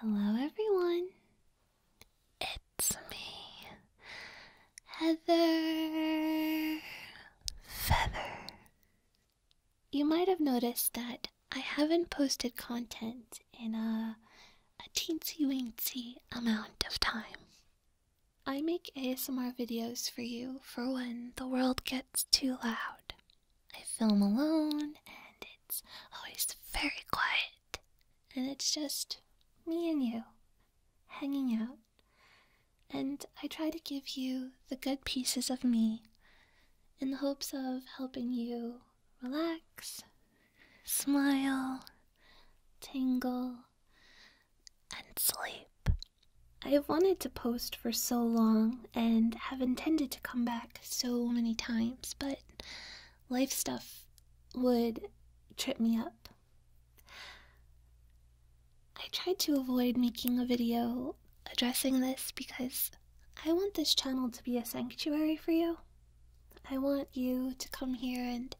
Hello, everyone. It's me, Heather Feather. You might have noticed that I haven't posted content in a a teensy weensy amount of time. I make ASMR videos for you for when the world gets too loud. I film alone and it's always very quiet. And it's just me and you hanging out. And I try to give you the good pieces of me in the hopes of helping you relax, smile, tingle, and sleep. I have wanted to post for so long and have intended to come back so many times, but life stuff would trip me up. I tried to avoid making a video addressing this because I want this channel to be a sanctuary for you. I want you to come here and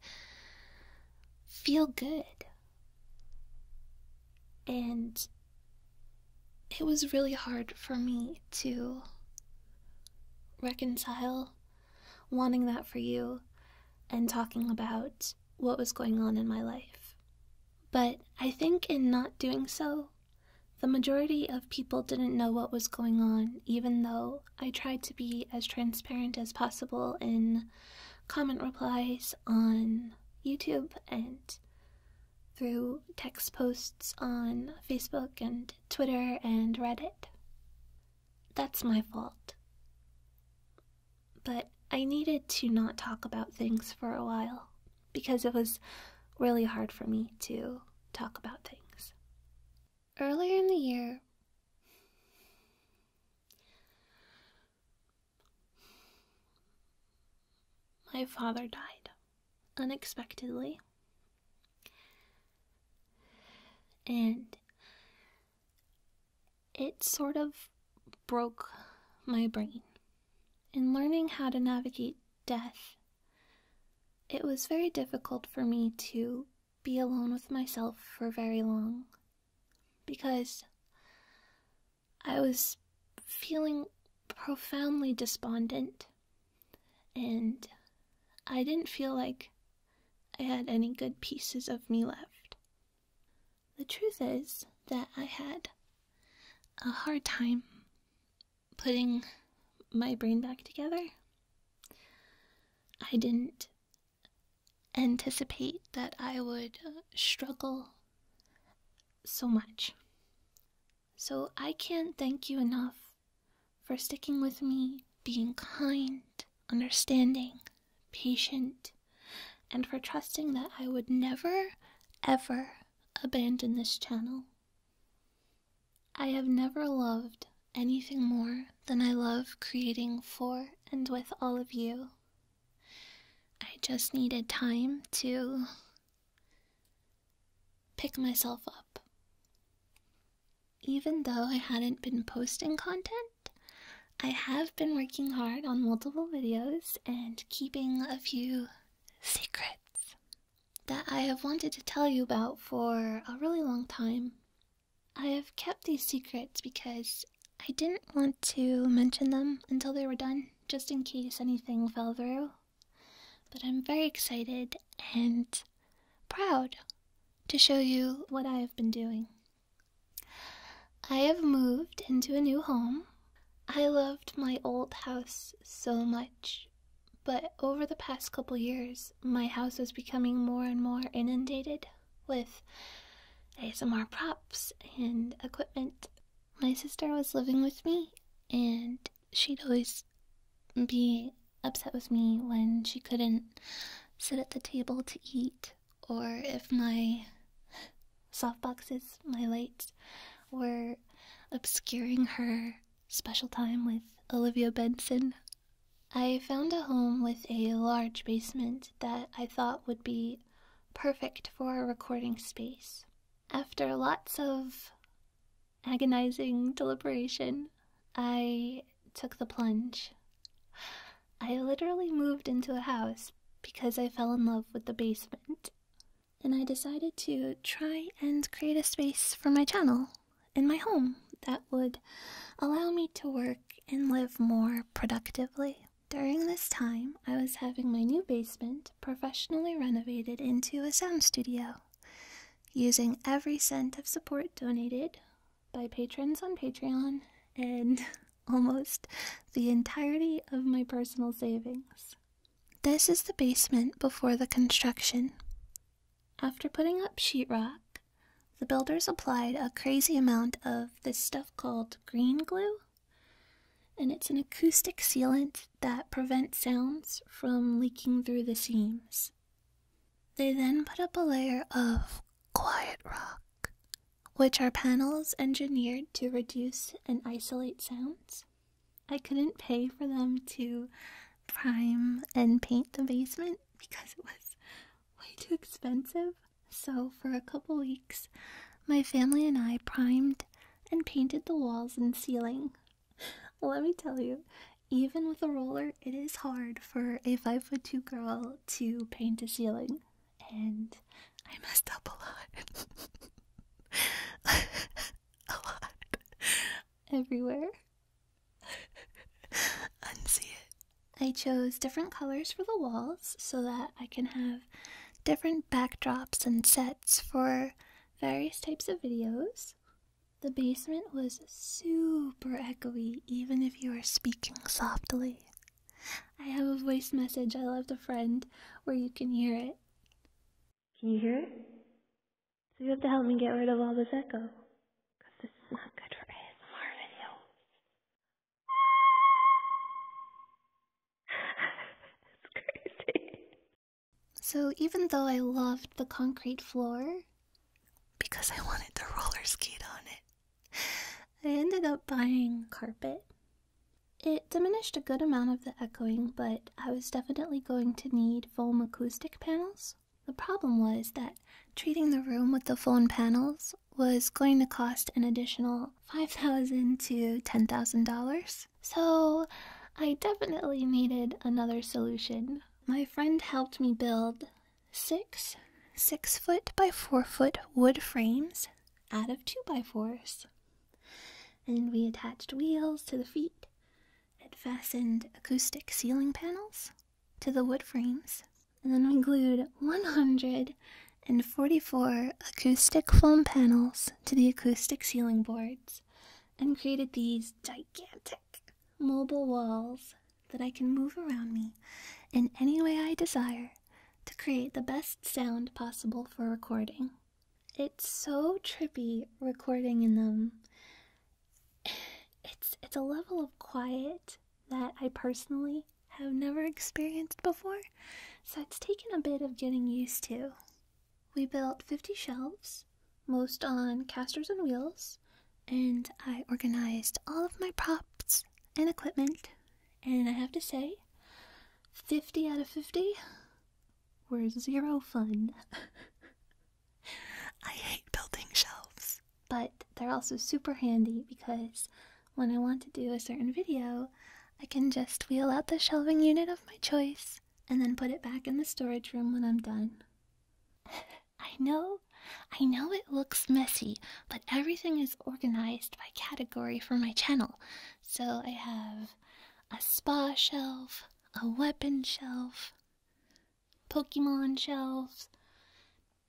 feel good. And it was really hard for me to reconcile wanting that for you and talking about what was going on in my life. But I think in not doing so, the majority of people didn't know what was going on, even though I tried to be as transparent as possible in comment replies on YouTube and through text posts on Facebook and Twitter and Reddit. That's my fault. But I needed to not talk about things for a while because it was really hard for me to talk about things earlier in the year, my father died unexpectedly. And it sort of broke my brain. in learning how to navigate death it was very difficult for me to be alone with myself for very long because I was feeling profoundly despondent and I didn't feel like I had any good pieces of me left. The truth is that I had a hard time putting my brain back together. I didn't anticipate that I would struggle so much. So I can't thank you enough for sticking with me, being kind, understanding, patient, and for trusting that I would never, ever abandon this channel. I have never loved anything more than I love creating for and with all of you. I just needed time to pick myself up. Even though I hadn't been posting content, I have been working hard on multiple videos and keeping a few secrets that I have wanted to tell you about for a really long time. I have kept these secrets because I didn't want to mention them until they were done, just in case anything fell through. But I'm very excited and proud to show you what I have been doing. I have moved into a new home. I loved my old house so much but over the past couple years, my house was becoming more and more inundated with ASMR props and equipment. My sister was living with me, and she'd always be upset with me when she couldn't sit at the table to eat, or if my softboxes, my lights, were obscuring her special time with Olivia Benson. I found a home with a large basement that I thought would be perfect for a recording space. After lots of agonizing deliberation, I took the plunge. I literally moved into a house because I fell in love with the basement. And I decided to try and create a space for my channel in my home that would allow me to work and live more productively. During this time, I was having my new basement professionally renovated into a sound studio, using every cent of support donated by patrons on Patreon and almost the entirety of my personal savings. This is the basement before the construction. After putting up sheetrock, the builders applied a crazy amount of this stuff called green glue, and it's an acoustic sealant that prevents sounds from leaking through the seams. They then put up a layer of quiet rock, which are panels engineered to reduce and isolate sounds. I couldn't pay for them to prime and paint the basement because it was way too expensive. So, for a couple weeks, my family and I primed and painted the walls and ceiling. Let me tell you, even with a roller, it is hard for a 5 foot 2 girl to paint a ceiling. And I messed up a lot. a lot. Everywhere. Unsee it. I chose different colors for the walls so that I can have different backdrops and sets for various types of videos. The basement was super echoey, even if you are speaking softly. I have a voice message I left a friend where you can hear it. Can you hear it? So you have to help me get rid of all this echo. this is not good for ASMR video. it's crazy. So even though I loved the concrete floor, because I wanted to rollerskate on it, I ended up buying carpet. It diminished a good amount of the echoing, but I was definitely going to need foam acoustic panels. The problem was that treating the room with the foam panels was going to cost an additional $5,000 to $10,000. So I definitely needed another solution. My friend helped me build six six foot by four foot wood frames out of two by fours. And we attached wheels to the feet it fastened acoustic ceiling panels to the wood frames. And then we glued 144 acoustic foam panels to the acoustic ceiling boards and created these gigantic mobile walls that I can move around me in any way I desire to create the best sound possible for recording. It's so trippy recording in them it's it's a level of quiet that I personally have never experienced before, so it's taken a bit of getting used to. We built 50 shelves, most on casters and wheels, and I organized all of my props and equipment, and I have to say, 50 out of 50 were zero fun. I hate building shelves. But they're also super handy because when I want to do a certain video, I can just wheel out the shelving unit of my choice and then put it back in the storage room when I'm done. I know, I know it looks messy, but everything is organized by category for my channel. So I have a spa shelf, a weapon shelf, Pokemon shelves,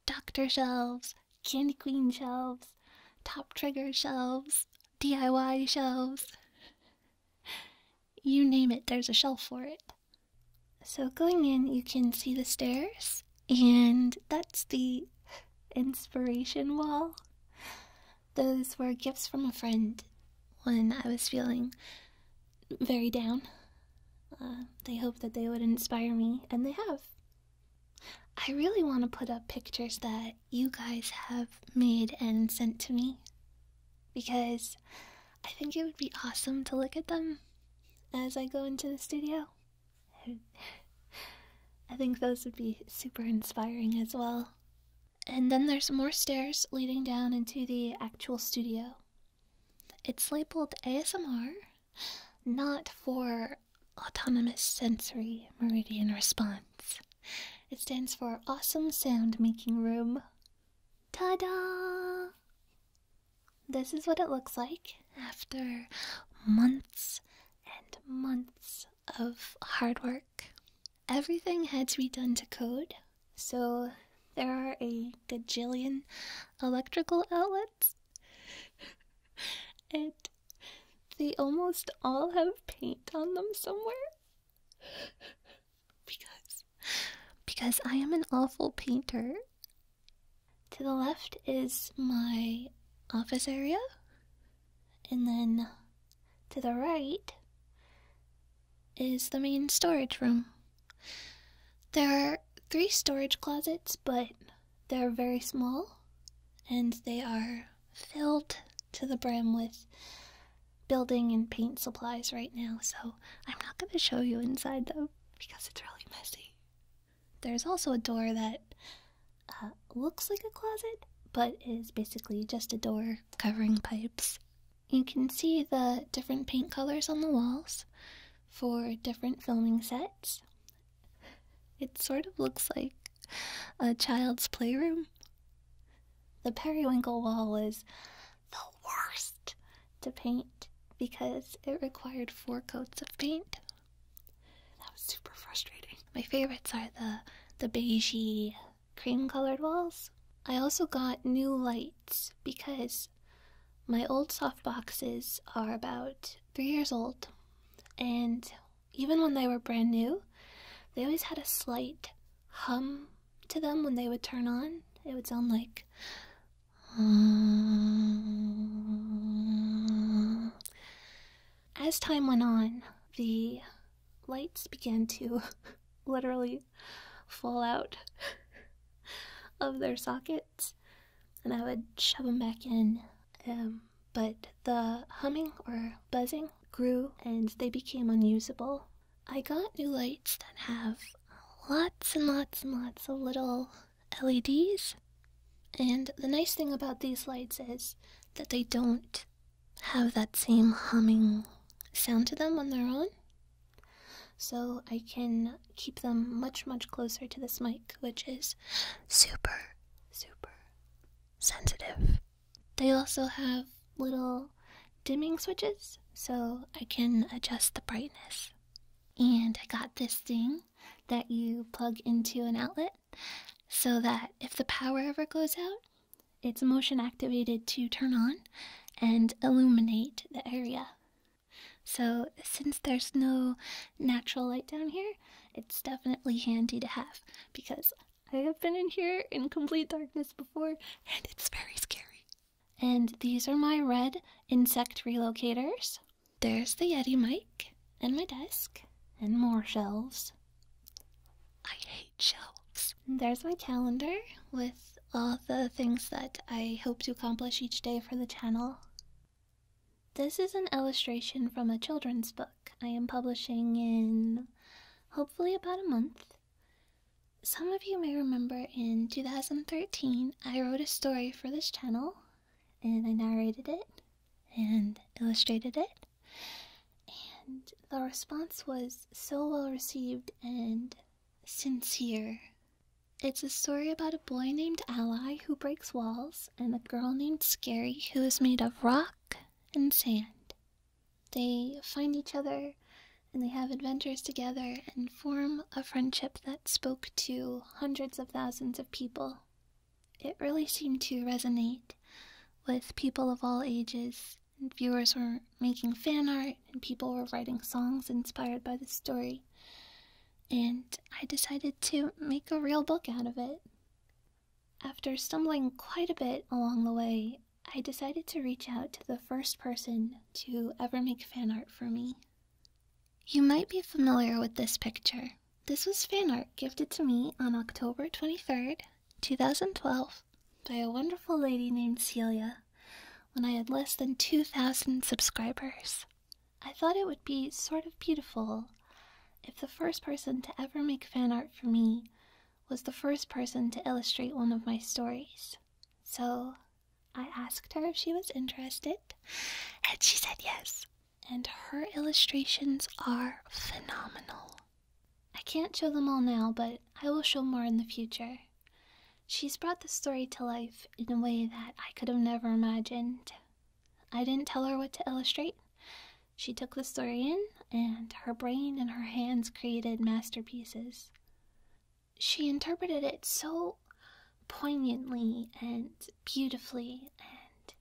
Doctor shelves, Candy Queen shelves, Top Trigger shelves, DIY shelves. You name it, there's a shelf for it. So, going in, you can see the stairs, and that's the inspiration wall. Those were gifts from a friend when I was feeling very down. Uh, they hope that they would inspire me, and they have. I really want to put up pictures that you guys have made and sent to me because I think it would be awesome to look at them as I go into the studio. I think those would be super inspiring as well. And then there's more stairs leading down into the actual studio. It's labeled ASMR, not for Autonomous Sensory Meridian Response. It stands for Awesome Sound Making Room. Ta da! This is what it looks like after months and months of hard work everything had to be done to code, so there are a gajillion electrical outlets, and they almost all have paint on them somewhere. because, because I am an awful painter. To the left is my office area, and then to the right is the main storage room. There are three storage closets, but they're very small and they are filled to the brim with building and paint supplies right now, so I'm not going to show you inside though because it's really messy. There's also a door that uh, looks like a closet but is basically just a door covering pipes you can see the different paint colors on the walls for different filming sets. It sort of looks like a child's playroom. The periwinkle wall was the worst to paint because it required four coats of paint. That was super frustrating. My favorites are the the beigey cream colored walls. I also got new lights because my old soft boxes are about three years old, and even when they were brand new, they always had a slight hum to them when they would turn on. It would sound like. Ah. As time went on, the lights began to literally fall out of their sockets, and I would shove them back in. Um, but the humming or buzzing grew and they became unusable. I got new lights that have lots and lots and lots of little LEDs. And the nice thing about these lights is that they don't have that same humming sound to them on their own. So I can keep them much, much closer to this mic, which is super, super sensitive. They also have little dimming switches, so I can adjust the brightness. And I got this thing that you plug into an outlet so that if the power ever goes out, it's motion activated to turn on and illuminate the area. So, since there's no natural light down here, it's definitely handy to have because I have been in here in complete darkness before and it's very scary. And these are my red insect relocators. There's the Yeti mic and my desk and more shelves. I hate shelves. There's my calendar with all the things that I hope to accomplish each day for the channel. This is an illustration from a children's book I am publishing in hopefully about a month. Some of you may remember in 2013 I wrote a story for this channel and I narrated it and illustrated it and the response was so well received and sincere. It's a story about a boy named Ally who breaks walls and a girl named Scary who is made of rock and sand. They find each other and they have adventures together and form a friendship that spoke to hundreds of thousands of people. It really seemed to resonate with people of all ages viewers were making fan art, and people were writing songs inspired by the story. And I decided to make a real book out of it. After stumbling quite a bit along the way, I decided to reach out to the first person to ever make fan art for me. You might be familiar with this picture. This was fan art gifted to me on October 23rd, 2012, by a wonderful lady named Celia when I had less than 2,000 subscribers. I thought it would be sort of beautiful if the first person to ever make fan art for me was the first person to illustrate one of my stories. So I asked her if she was interested, and she said yes. And her illustrations are phenomenal. I can't show them all now, but I will show more in the future. She's brought the story to life in a way that I could have never imagined. I didn't tell her what to illustrate. She took the story in, and her brain and her hands created masterpieces. She interpreted it so poignantly and beautifully, and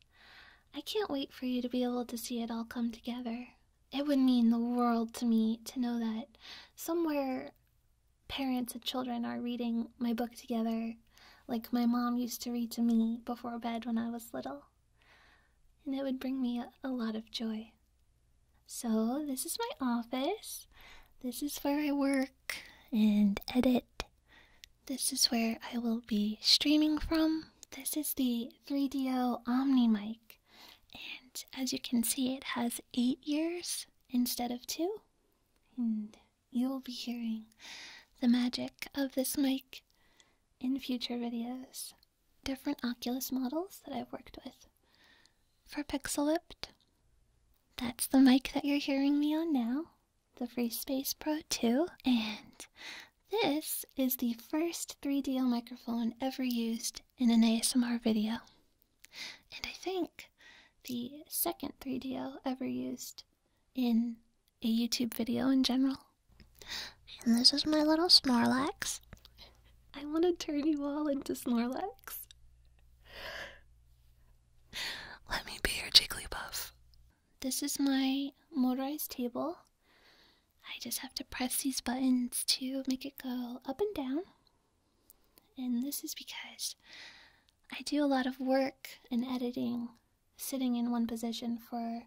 I can't wait for you to be able to see it all come together it would mean the world to me to know that somewhere parents and children are reading my book together like my mom used to read to me before bed when I was little. And it would bring me a, lot of joy. So, this is my office. This is where I work and edit. This is where I will be streaming from. This is the 3DO Omni mic. And as you can see, it has eight years instead of two. And you'll be hearing the magic of this mic in future videos. Different Oculus models that I've worked with for Pixelipt. That's the mic that you're hearing me on now, the Free Space Pro 2. And this is the first D L microphone ever used in an ASMR video. And I think the second L ever used in a YouTube video in general. And this is my little Snorlax. I want to turn you all into Snorlax. Let me be your Jigglypuff. This is my motorized table. I just have to press these buttons to make it go up and down. And this is because I do a lot of work and editing sitting in one position for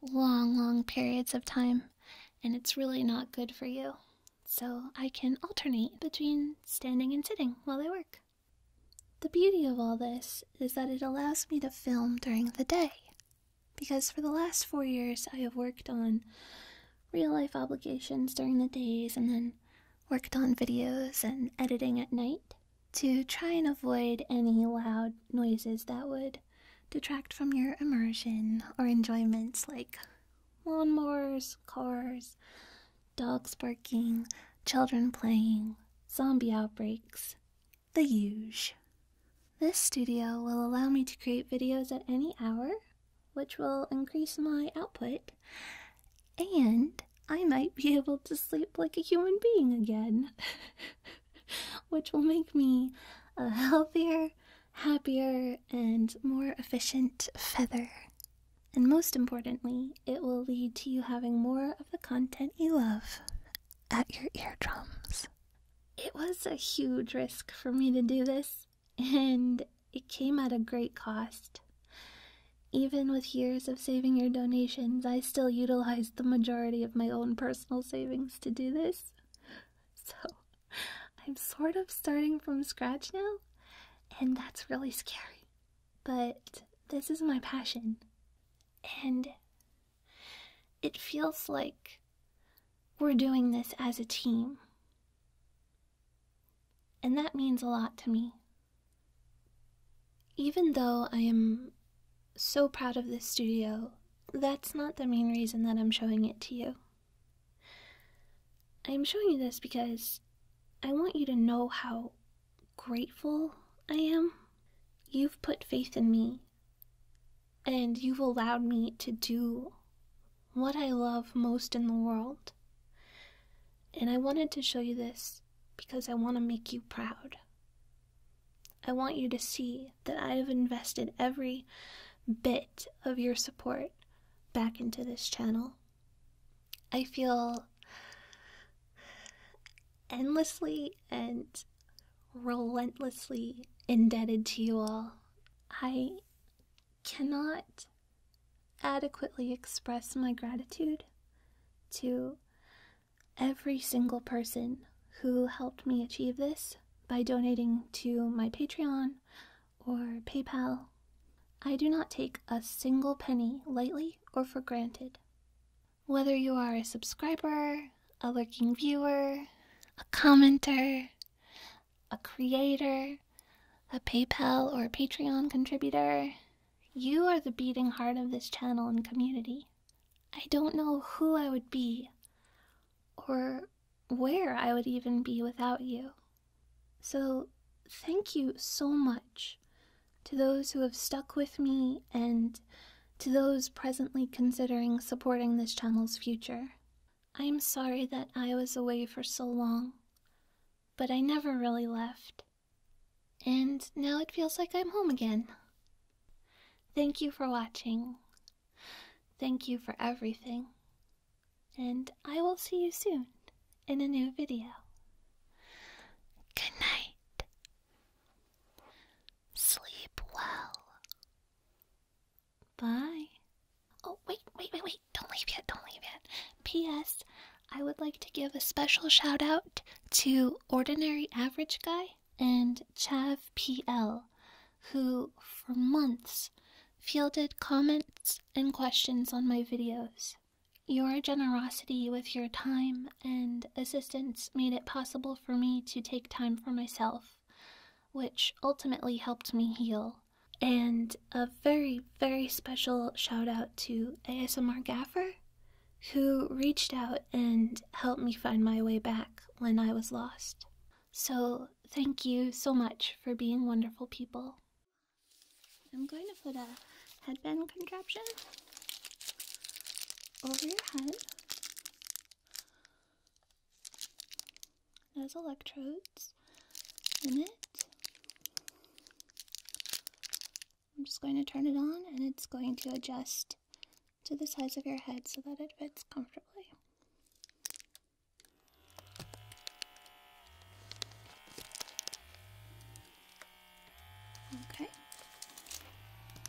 long, long periods of time, and it's really not good for you. So I can alternate between standing and sitting while I work. The beauty of all this is that it allows me to film during the day, because for the last four years I have worked on real life obligations during the days and then worked on videos and editing at night to try and avoid any loud noises that would detract from your immersion or enjoyments like lawnmowers, cars, dogs barking, children playing, zombie outbreaks, the huge. This studio will allow me to create videos at any hour, which will increase my output, and I might be able to sleep like a human being again, which will make me a healthier, happier, and more efficient feather. And most importantly, it will lead to you having more of the content you love at your eardrums. It was a huge risk for me to do this, and it came at a great cost. Even with years of saving your donations, I still utilized the majority of my own personal savings to do this. So, I'm sort of starting from scratch now, and that's really scary. But this is my passion, and it feels like we're doing this as a team. And that means a lot to me. Even though I am so proud of this studio, that's not the main reason that I'm showing it to you. I'm showing you this because I want you to know how grateful I am. You've put faith in me and you've allowed me to do what I love most in the world. And I wanted to show you this because I want to make you proud. I want you to see that I have invested every bit of your support back into this channel. I feel endlessly and relentlessly indebted to you all. I cannot adequately express my gratitude to every single person who helped me achieve this by donating to my Patreon or PayPal. I do not take a single penny lightly or for granted. Whether you are a subscriber, a working viewer, a commenter, a creator, a PayPal or Patreon contributor, you are the beating heart of this channel and community. I don't know who I would be or where I would even be without you. So, thank you so much to those who have stuck with me and to those presently considering supporting this channel's future. I am sorry that I was away for so long, but I never really left. And now it feels like I'm home again. Thank you for watching. Thank you for everything. And I will see you soon in a new video. Good night. Sleep well. Bye. Oh, wait, wait, wait, wait. Don't leave yet. Don't leave yet. P.S. I would like to give a special shout out to Ordinary Average Guy and Chav P.L., who for months fielded comments and questions on my videos. Your generosity with your time and assistance made it possible for me to take time for myself which ultimately helped me heal. And a very, very special shout out to ASMR Gaffer, who reached out and helped me find my way back when I was lost. So, thank you so much for being wonderful people. I'm going to put a headband contraption over your head there's electrodes in it. I'm just going to turn it on and it's going to adjust to the size of your head so that it fits comfortably. Okay.